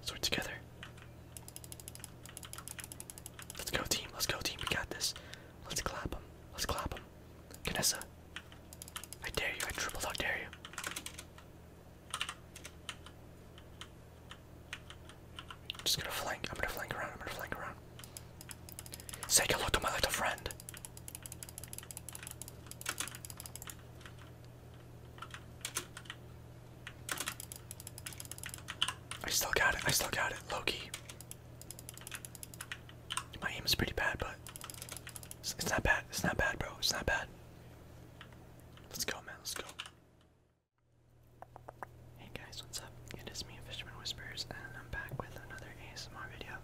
So together. Let's go, team. Let's go, team. We got this. Let's clap them. Let's clap them. Canessa. I dare you. I triple dog dare you. Just gonna flank. I'm gonna flank around. I'm gonna flank around. Take a look at my little friend. I still got it. I still got it. Loki. My aim is pretty bad, but it's, not bad. It's not bad, bro. It's not bad. Let's go, man. Let's go. Hey guys, what's up? It is me, Fisherman Whispers, and I'm back with another ASMR video.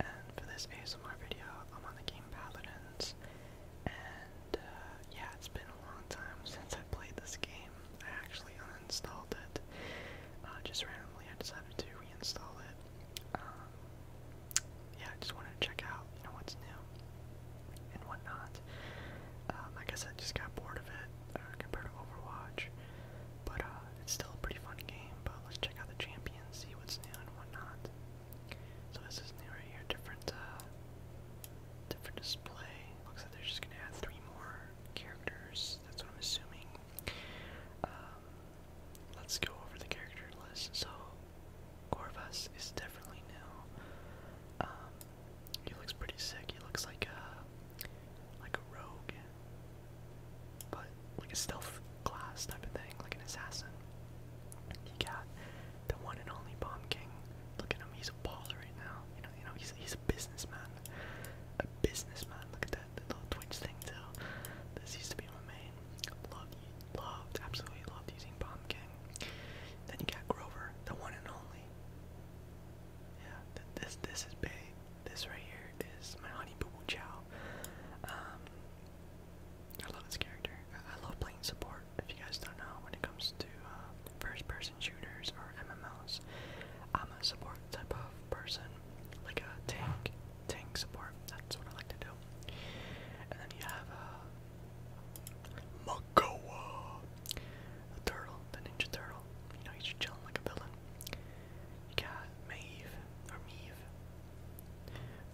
And for this ASMR video, I'm on the game Paladins. And uh, yeah, it's been a long time since I played this game. I actually uninstalled it. Uh, just randomly, I decided to reinstall it. Um, yeah, I just wanted to check out, you know, what's new and whatnot. Um, I guess I just got bored of it uh, compared to Overwatch, but uh, it's still a pretty fun game. But let's check out the champions, see what's new and whatnot. So this is new right here, different, uh, different display. Looks like they're just gonna add three more characters. That's what I'm assuming. Um, let's go over the character list. So, Corvus is definitely new. Um, he looks pretty sick. He looks like a like a rogue, but like a stealth class type of thing, like an assassin. He got the one and only Bomb King. Look at him. He's a baller right now. You know, you know, he's he's a businessman. A businessman. Look at that the Twitch thing too. This used to be my main. Loved, loved, absolutely loved using Bomb Then you got Grover, the one and only. Yeah, this this is big. This right here is my honey boo boo chow. Um, I love this character. I, love playing support. If you guys don't know, when it comes to uh, first person shooters or MMOs, I'm a support type of person like a tank tank support. That's what I like to do. And then you have uh, Makoa, the turtle, the ninja turtle. You know, he's just chilling like a villain. You got Maeve or Meave,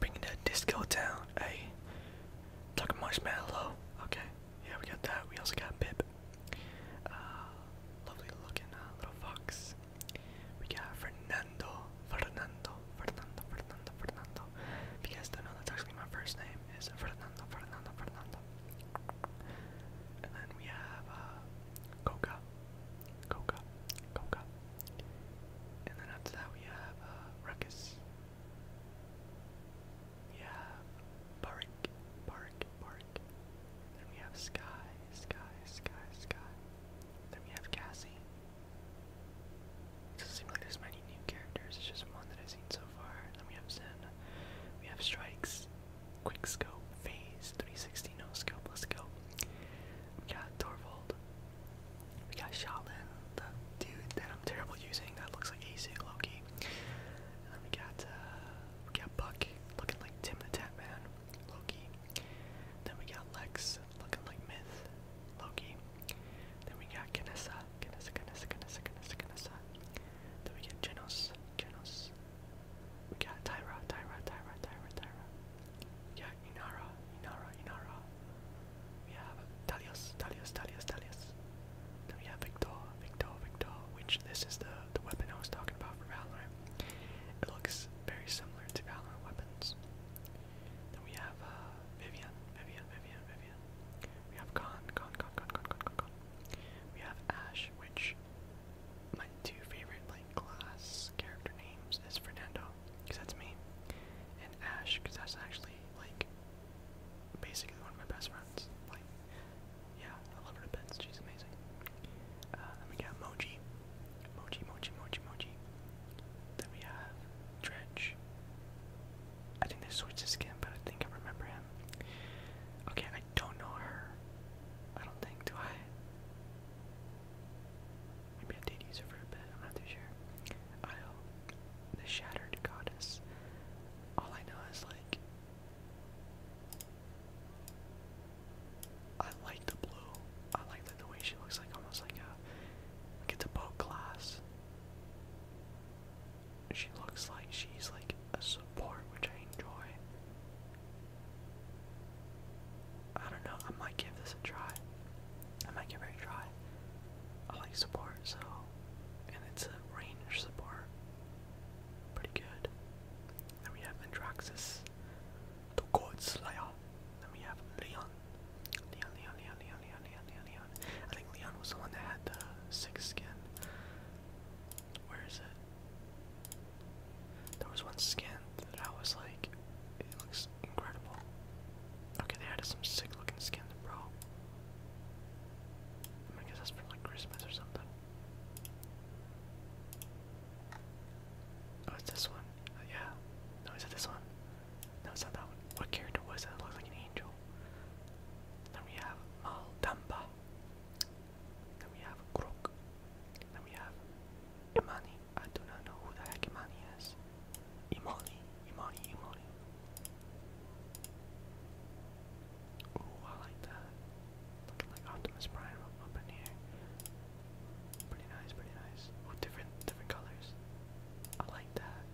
bringing that disco down. Hey, talking marshmallow. Okay, yeah, we got that. We also got Pip. Uh, lovely looking uh, little fox. We got Fernando, Fernando, Fernando, Fernando, Fernando. If you guys don't know, that's actually my first name is Fernando, Fernando, Fernando. And then we have uh, Coca, Coca, Coca. And then after that we have uh, Ruckus. We have Barik, Barik, Park. Then we have Sky, Sky, Sky, Sky. Then we have Cassie. doesn't seem like there's many new characters, it's just one that I've seen so far. Then we have Zen. We have Strikes, Quick Scope, Phase, 360 No Scope, let's go. We got Torvald. We got Shaolin, the dude that I'm terrible using that looks like Asig Loki. then we got uh, we got Buck looking like Tim the Tap Man, Loki. Then we got Lex looking like Myth, Loki. Then we got Ganessa, Ganessa, Ganessa, Ganessa, Ganessa, Ganessa. Then we get Genos, Genos. We got Tyra, Tyra, Tyra, Tyra, Tyra. We got Inara, Inara, Inara. We have Talios, Talios, Talios, Talios. Then we have Victor, Victor, Victor, which this is the, the weapon I was talking about for Valorant. It looks very similar to Valorant weapons. Then we have uh, Vivian, Vivian, Vivian, Vivian. We have Khan, Khan, Khan, Khan, Khan, Khan, Khan. We have Ash, which my two favorite like class character names is Fernando, because that's me, and Ash, because that's actually like basically one of my best friends. Like yeah, I love her to bits. She's amazing. Uh, then we got Moji. Moji, Moji, Moji, Then we have Dredge. I think they switched skin, but I think I remember him. Okay, I don't know her. I don't think, do I? Maybe I did use her for a bit, I'm not too sure. Isle, the Shattered Goddess. All I know is, like, I like the blue. I like the, way she looks like almost like a it's a boat class. She looks like she's like a support, which I enjoy. I don't know, I might give this a try. I might give it a try. I like support, so and it's a range support. Pretty good. Then we have Andraxis, the God Slayer. Then we have Leon. Leon, Leon, Leon, Leon, Leon, Leon, Leon, Leon. I think Leon was the one that had the six skin. Where is it? There was one skin that I was like, it looks incredible. Okay, they added some sick looking skin, bro. I guess that's from like Christmas or something. Oh, it's this one. Oh, yeah. No, is it this one? No, it's not that one. What character was that? It looks like an angel. Then we have Maldamba. Then we have Krok. Then we have Imani. I do not know who the heck Imani is. Imani, Imani, Imani. Ooh, I like that. Looking like Optimus Prime up, in here. Pretty nice, pretty nice. Ooh, different, different colors. I like that.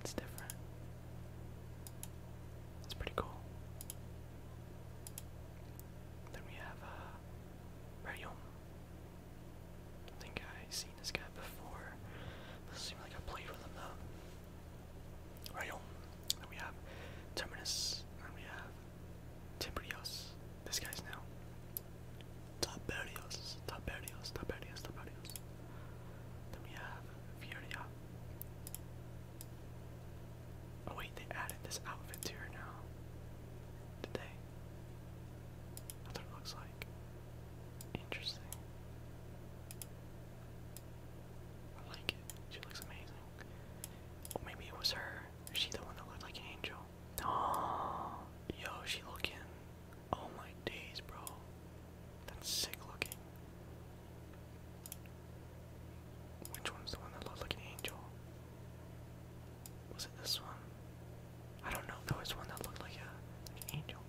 It's different. It's pretty cool. Then we have uh, think I've seen this guy before. Doesn't seem like I played with him though. Rayon. Then we have Terminus. And we have Tibrios. This guy's now. Tiberios. Tiberios. Tiberios. Tiberios. Then we have Furia. Oh wait, they added this outfit to her now. Did they? That's what it looks like. Interesting. I like it. She looks amazing. Or maybe it was her. she the one that looked like an angel? Oh, yo, she looking. Oh my days, bro. That's sick looking. Which one's the one that looked like an angel? Was it this one? I don't know. There was one that looked like, a, an angel.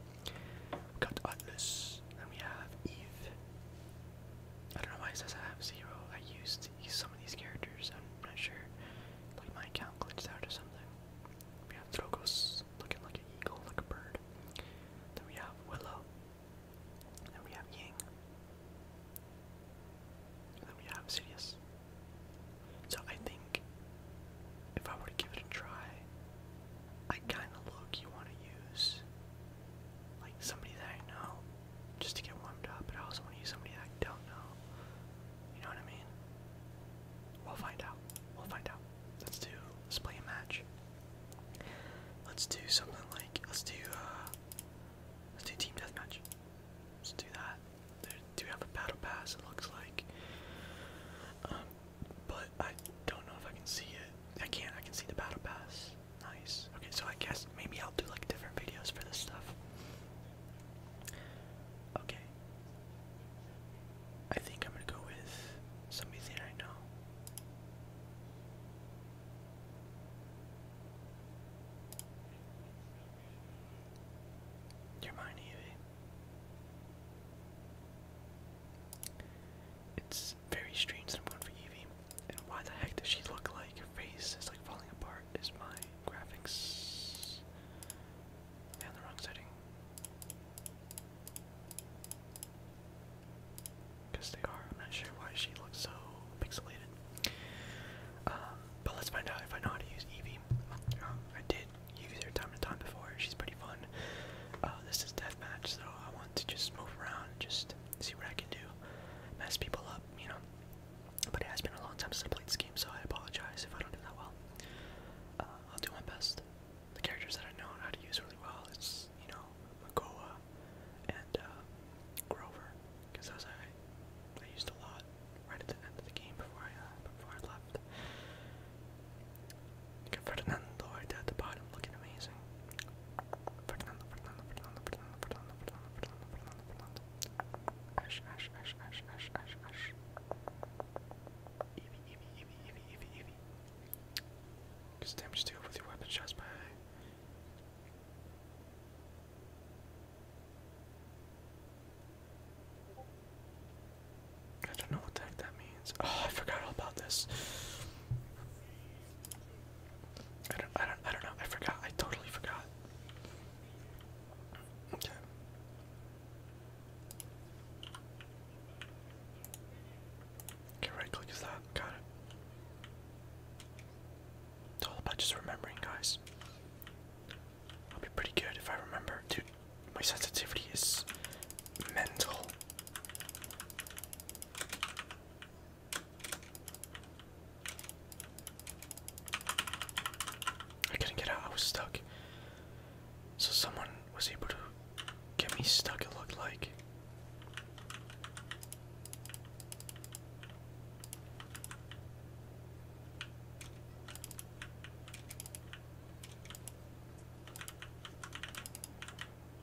We got Atlas. Then we have Eve. I don't know why it says I have zero. I used some of these characters. I'm not sure. Like my account glitched out or something. We have Drogos looking like an eagle, like a bird. Then we have Willow. Then we have Ying. then we have Sidious. So I think if I were to give it a try, I kind of look you want to use like somebody that I know just to get warmed up, but I also want to use somebody that don't know. You know what I mean? We'll find out. We'll find out. Let's do let's play a match. Let's do something like let's do uh let's do team deathmatch. Let's do that. There, do we have a battle pass? It looks like. Um, but I don't know if I can see it. I can't. I can see the battle pass. Nice. Okay, so I guess maybe I'll do like different videos for this stuff. Okay. I think I'm gonna go with somebody that I know. You're Evie. It's very strange I'm going for Evie. And why the heck does she look like her face is like falling apart? Is my graphics in the wrong setting? Because they are. I'm not sure why she looks so pixelated. Um, but let's find out if I know how to use Eevee. Um, I did use her time to time before. She's pretty fun. Uh, this is deathmatch, so I want to just move around, just see what I can do, mess people up, you know. But it has been a long time since I played this game, so I apologize if I don't do that well. Uh, I'll do my best. The characters that I know how to use really well it's you know, Makoa and uh, Grover, because those I, I used a lot right at the end of the game before I, uh, before I left. Ferdinando right there at the bottom, looking amazing. Fernando, Fernando, Fernando, Fernando, Fernando, Fernando, Fernando, Fernando, Fernando. deal with your weapon shots I don't know what the heck that means. Oh, I forgot all about this. I don't, I don't, I don't know. I forgot. I totally forgot. Okay. Okay, right click is that. Got it. It's all about just remembering, guys. I'll be pretty good if I remember. Dude, my sensitivity is mental. I couldn't get out, I was stuck. So someone was able to get me stuck, it looked like.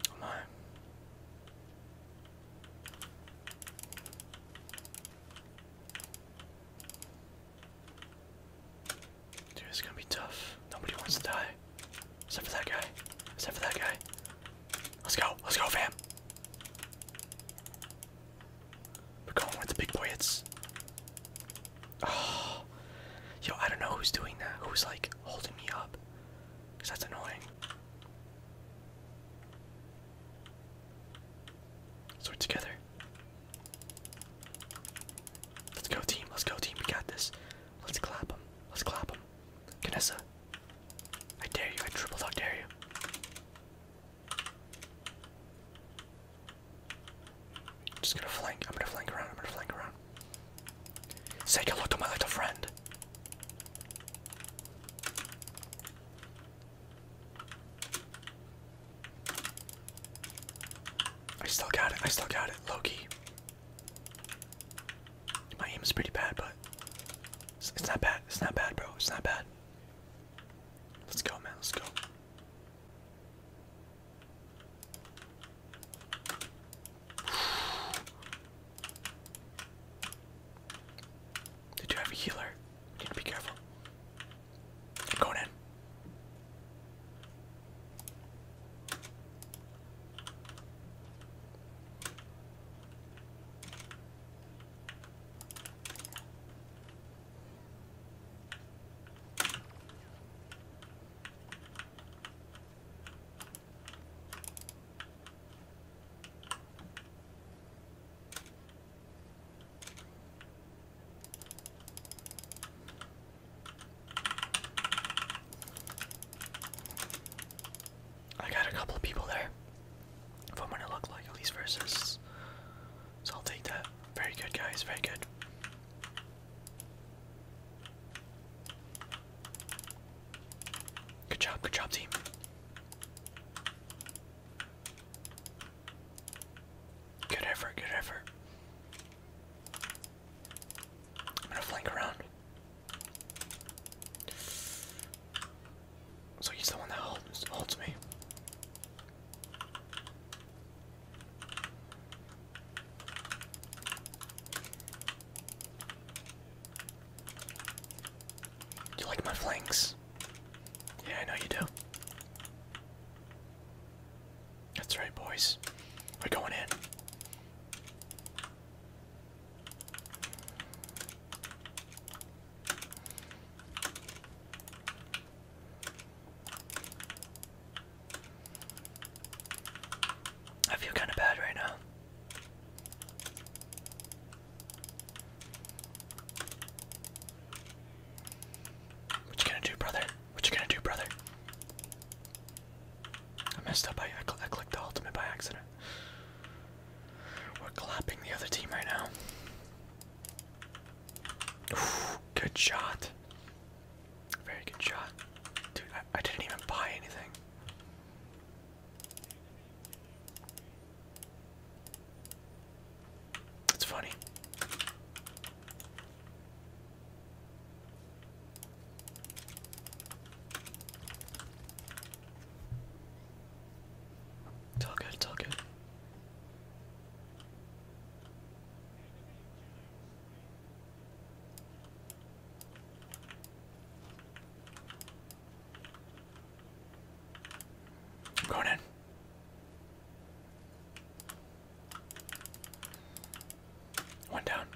Come on. Dude, it's gonna be tough. Nobody wants to die. Except for that guy. Except for that guy. Let's go. Let's go, fam. We're going with the big boy. It's. Oh. Ah. Yo, I don't know who's doing that. Who's like holding me up? Because that's annoying. So we're together. Let's go team, let's go team, we got this. Let's clap them. let's clap them. Kanessa, I dare you, I triple dog dare you. just gonna flank, I'm gonna flank around, I'm gonna flank around. Take a look at my little friend. I still got it. I still got it. Loki. My aim is pretty bad, but it's not bad. It's not bad, bro. It's not bad. Let's go, man. Let's go. Did you have a healer? need to be careful. going in. I got a couple of people there. If I'm gonna look like at least versus, so I'll take that. Very good, guys. Very good. Good job, good job, team. Good effort, good effort. I'm gonna flank around. So he's the one that holds, holds me. You like my flanks? Yeah, I know you do. That's right, boys. We're going in. I feel kind of bad right now. What you gonna do, brother? What you gonna do, brother? I messed up. I, I, I clicked the ultimate by accident. We're clapping the other team right now. good shot. Very good shot. Dude, I, didn't even buy anything. That's funny. It's good, good. I'm in. One down.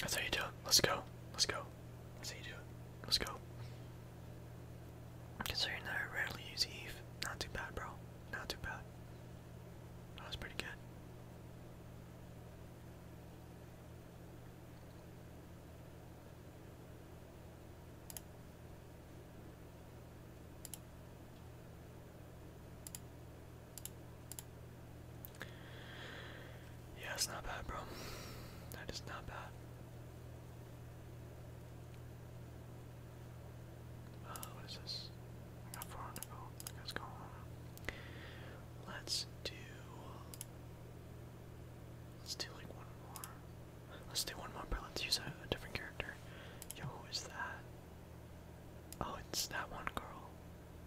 That's how you do it. Let's go. Let's go. That's how you do it. Let's go. Considering that I rarely use Eve, not too bad, bro. Not too bad. That was pretty good. Yeah, it's not bad, bro. That is not bad. Uh, what is this? I got 400 gold. What's going Let's do. Let's do like one more. Let's do one more, but let's use a, a different character. Yo, who is that? Oh, it's that one girl.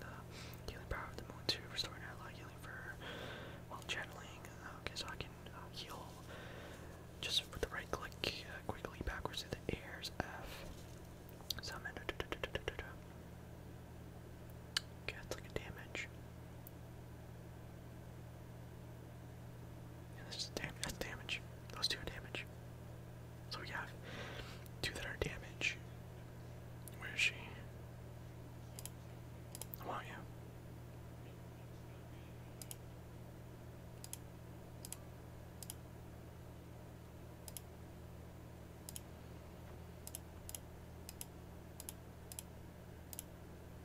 the uh, healing power of the moon to restore an ally healing for while channeling. Uh, okay, so I can uh, heal just with the right click quickly backwards through the airs. F. Summon. Da, da, da, Okay, that's like a damage. that's, dam that's damage. Those two are damage. So we have two that are damage. Where is she? I want you.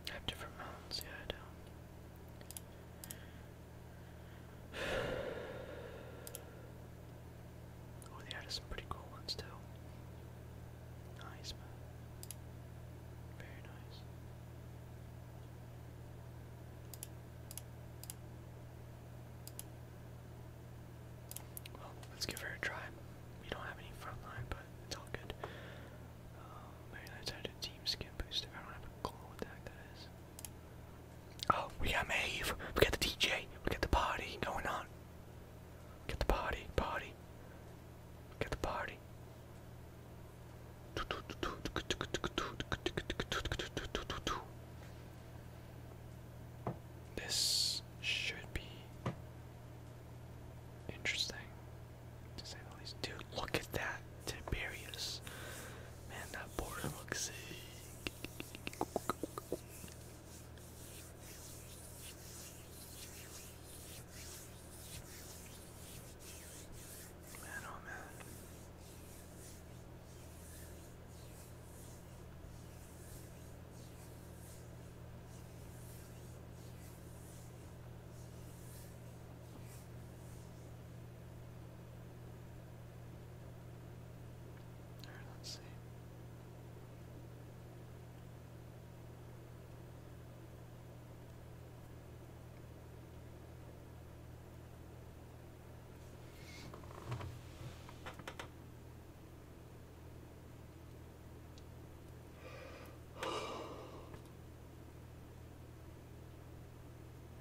I have different mounts, yeah, I don't. Oh, they added some pretty cool ones too. Nice, man. Very nice. Well, let's give her a try. We don't have any front line, but it's all good. Um, I had a team skin booster. I don't have a clue what that is. Oh, we got Maeve. We got the DJ. We got the party going on. Get the party, party. Get the party. This should be interesting, to say the least. Dude, look at that Tiberius. Man, that border looks Man, oh man. Alright, let's see.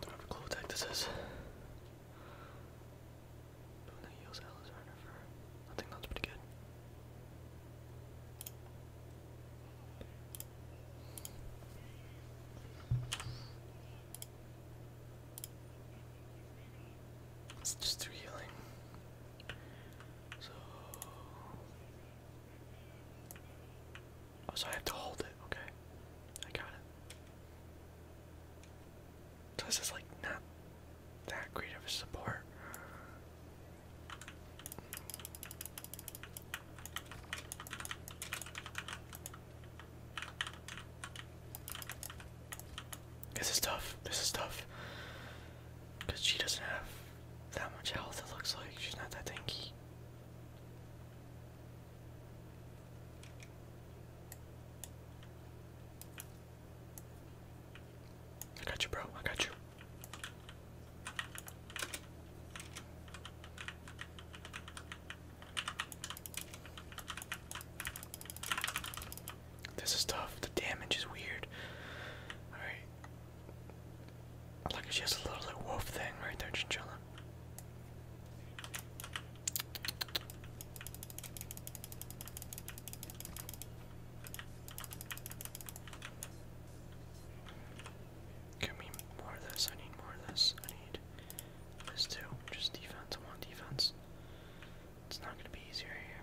Don't have a clue this is. Boone heals Alice Runner for. I think that's pretty good. let just do healing. So Oh, so I have to hold it. Okay, I got it. this is like not that great of a support. This is tough. This is tough. Cause she doesn't have that much health. It looks like she's not that tanky. I got you, bro. I got you. This is tough. The damage is weird. Alright. Look, she has a little wolf thing right there, chinchilla. Give me more of this. I need more of this. I need this too. Just defense. I want defense. It's not going to be easier here.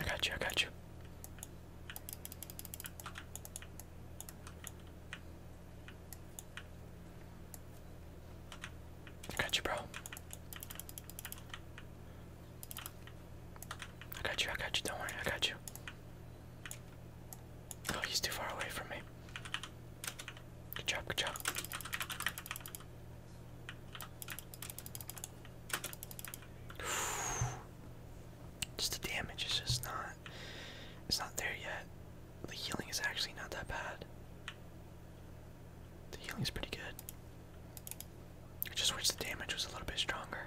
I got you, I got you. I got you, bro. I got you, I got you, don't worry, I got you. Oh, he's too far away from me. Good job, good job. Just the damage is just not it's not there yet. The healing is actually not that bad. The healing is pretty good. I just wish the damage was a little bit stronger.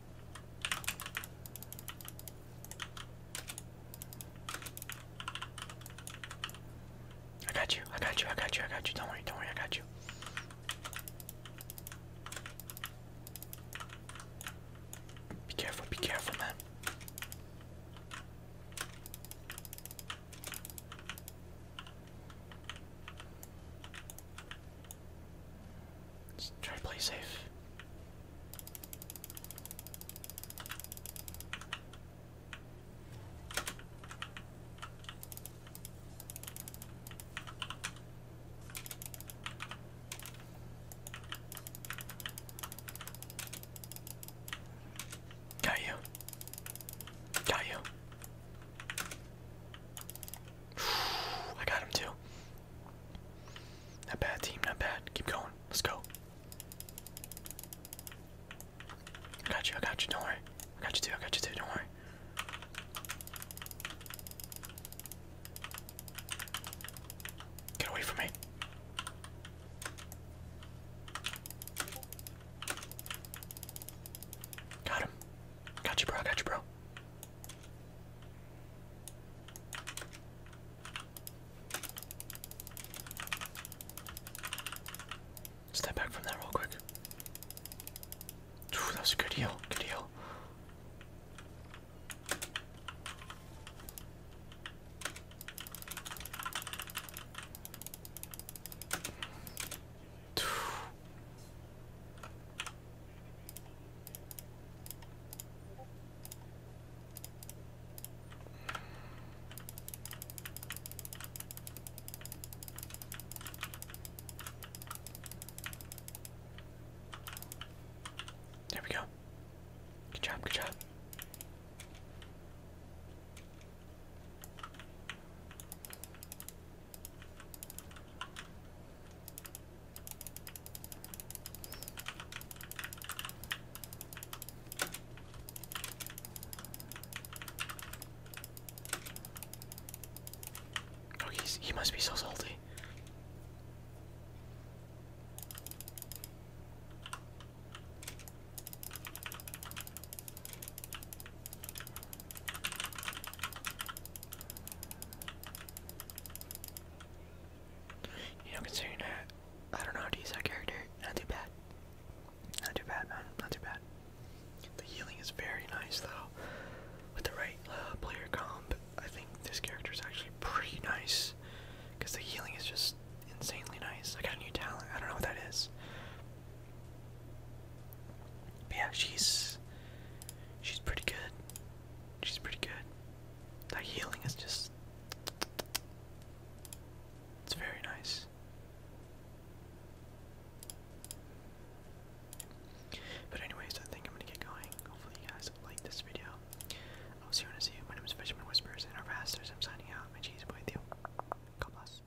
I got you, I got you, I got you, I got you. Don't worry, don't worry, I got you. Be careful, be careful, man. Let's try to play safe. Got you. Got you. I got him too. Not bad team, not bad. Keep going. Let's go. I got you, I got you, don't worry. I got you too, I got you too, don't worry. Get away from me. Got him. Got you, bro. got you, bro. Step back from that real quick. that was a good deal. Good heal. There we go. Good job, good job. Oh, he must be so salty. You know, considering that I don't know how to use that character, not too bad. Not too bad, man. Not too bad. The healing is very nice, though. With the right uh, player comp, I think this character is actually pretty nice. Because the healing is just insanely nice. I got a new talent. I don't know what that is yeah, she's she's pretty good. She's pretty good. That healing is just it's very nice. But anyways, I think I'm gonna get going. Hopefully you guys like this video. I'll see you when I My name is Fisherman Whispers and our pastors. I'm signing out. My cheese boy Theo. God bless.